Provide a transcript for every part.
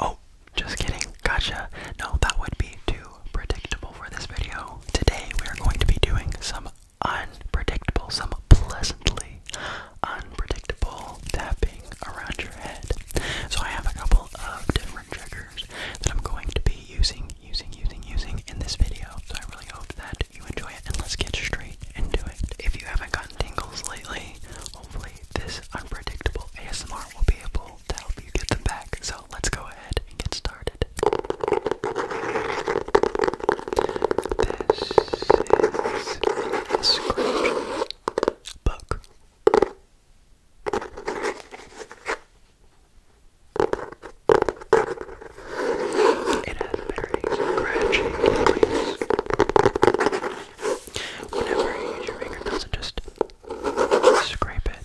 Oh, just kidding. Gotcha. No, that would be too predictable for this video. Today we are going to be doing some unpredictable, some pleasantly unpredictable tapping around your head. So I have a couple of different triggers that I'm going to be using, using, using, using in this video. So I really hope that you enjoy it and let's get straight into it. If you haven't gotten tingles lately, hopefully this unpredictable ASMR will be able to help you get them back. So let's go ahead and get started. This is a scratch book. It has very scratchy noise whenever you use your fingernails and just scrape it.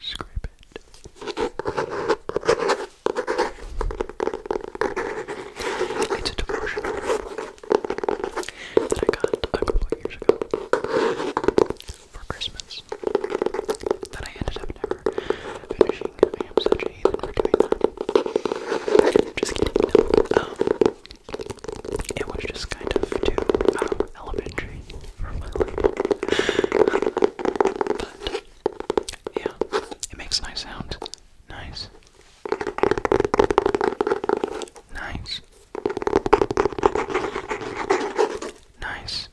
Scrape it. It's a devotional that I got a couple years ago for Christmas that I ended up never finishing. I am such a for doing that. Just kidding. Um, it was just kind of too um, elementary for my life. But, yeah, it makes nice sounds. Nice. Nice. Nice.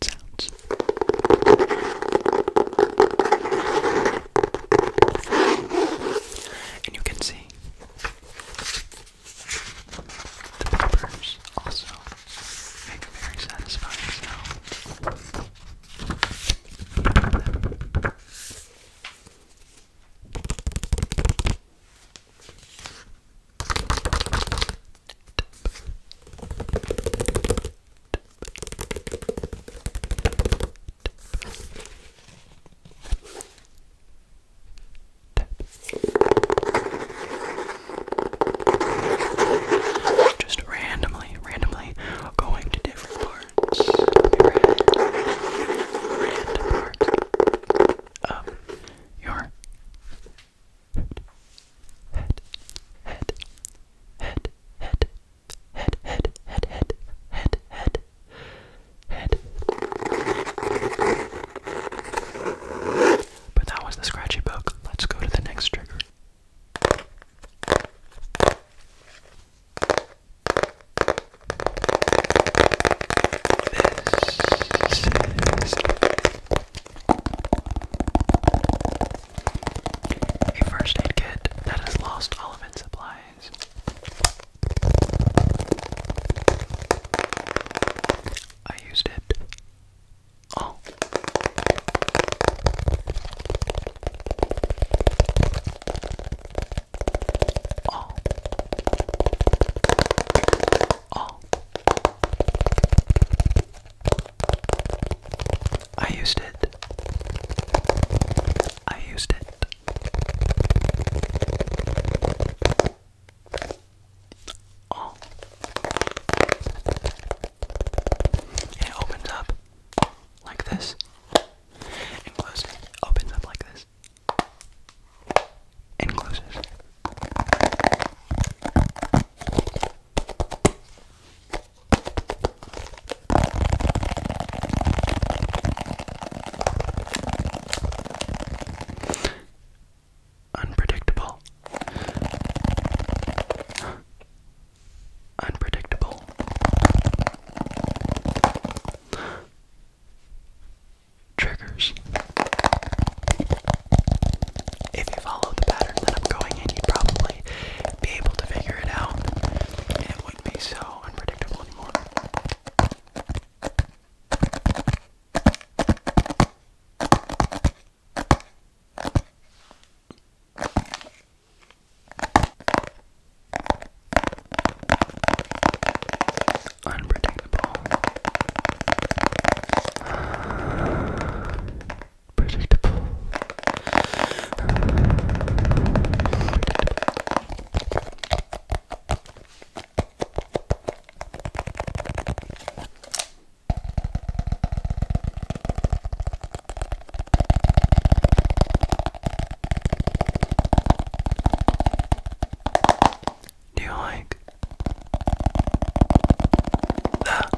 Sounds. And you can see the peppers also make very satisfying just randomly, randomly going to different parts. But that was the scratchy book. Let's go to the next trigger. This is a first aid kit that has lost all of its supplies. I used it. Oh. Oh. Oh. I used it. I used it. Oh. It opens up like this and closes. Opens up like this and closes. Unpredictable. Unpredictable triggers. If you follow the pattern that I'm going in, you probably be able to figure it out, it wouldn't be so unpredictable anymore. Unpredictable. Predictable. Predictable. Do you like that?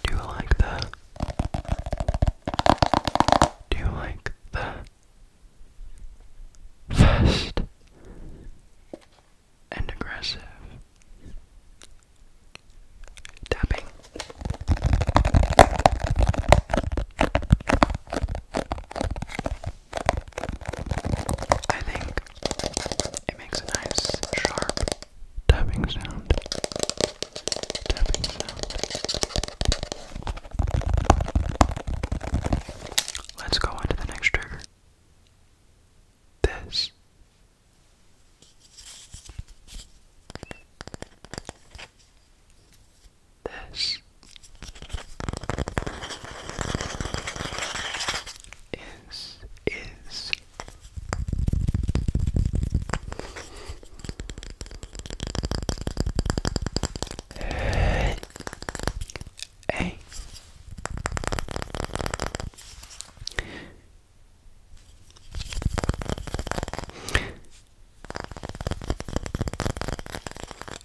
Do you like that? Do you like that? Fast and aggressive tapping. I think it makes a nice, sharp tapping sound. Let's go on to the next trigger. This. This is is a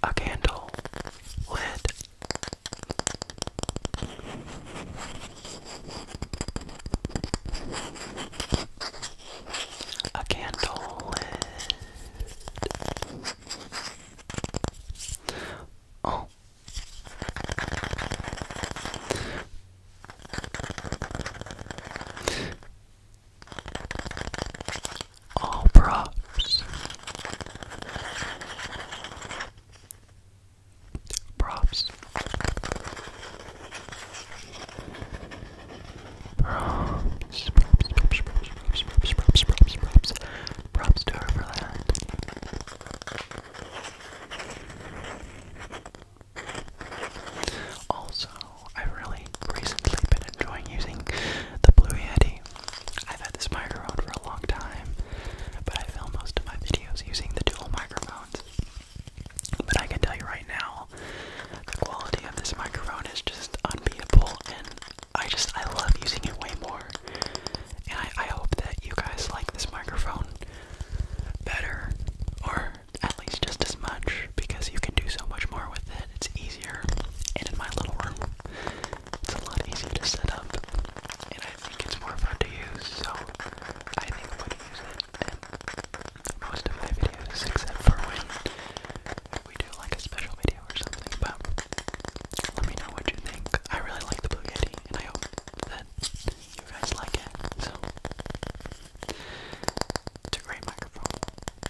a candle lit. A candle lit. Oh. All props. Props. Props. Props. Props. Props to Overland. Also, I've really recently been enjoying using the Blue Yeti. I've had this microphone for a long time, but I film most of my videos using the dual microphones. But I can tell you right now, the quality of this microphone is just unbeatable, and I just I love using it way more. And I, I hope that you guys like this microphone better, or at least just as much, because you can do so much more with it. It's easy. And in my little room, it's a lot easier to set up. And I think it's more fun to use, so I think I'm gonna use it in most of my videos, except for when we do like a special video or something. But let me know what you think. I really like the Blue Yeti, and I hope that you guys like it. So, it's great microphone.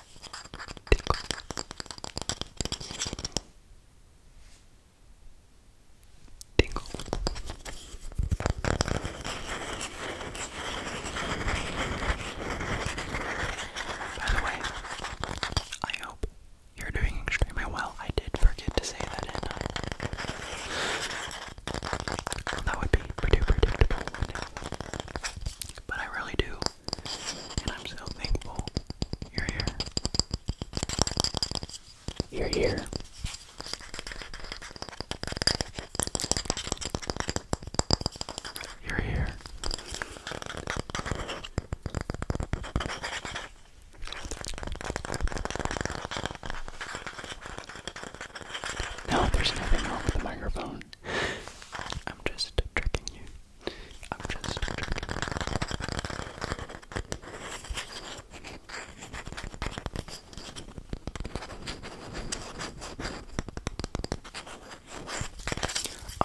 Tingle. By the way, I hope you're doing extremely well. I did forget to say that, did uh, That would be pretty predictable, wouldn't But I really do and I'm so thankful you're here. You're here. You're here. No, there's nothing wrong with the microphone. I'm just tricking you. I'm just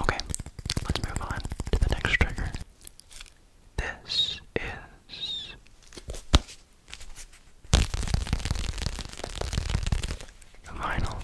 Okay, let's move on to the next trigger. This is vinyl.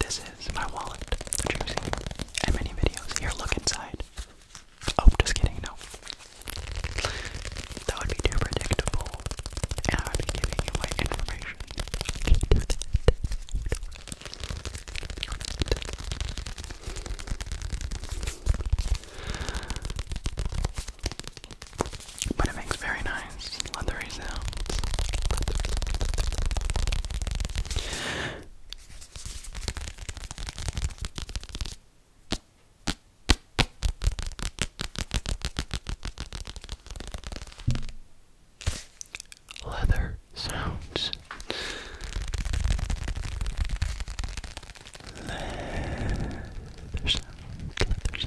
This is my wallet that you're seeing And many videos. Here, look inside. Oh, just kidding, no. That would be too predictable. And I would be giving you my information. But it makes very nice leathery sounds. Leather sounds. Leather sounds,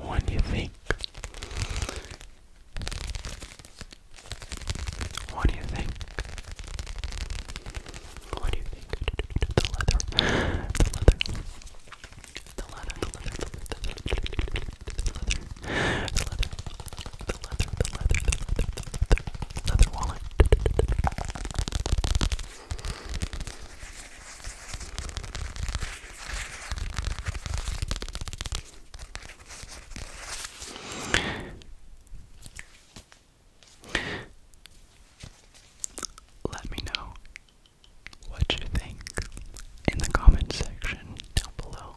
What do you think? What do you think? What do you think? The leather, the leather, the leather, the leather, to the Let me know what you think in the comment section down below.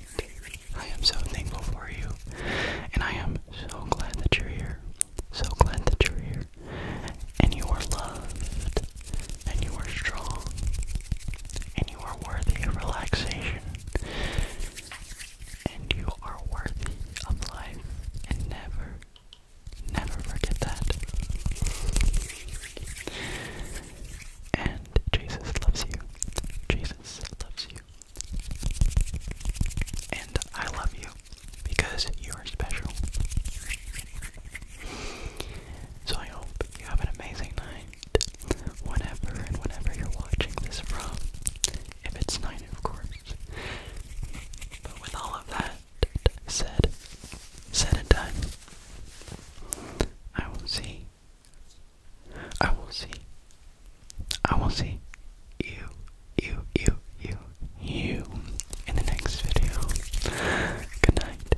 I am so thankful for you, and I am so glad that you're here. So glad that you're here. And you are loved, and you are strong, and you are worthy of relaxation, and you are worthy of life, and never, never forget that. And Jesus loves you. Jesus loves you. And I love you because you are special. So I hope you have an amazing night, whenever and whenever you're watching this from. If it's night, of course. But with all of that said, said and done, I will see I will see. I will see you, you, you, you, you in the next video. Good night.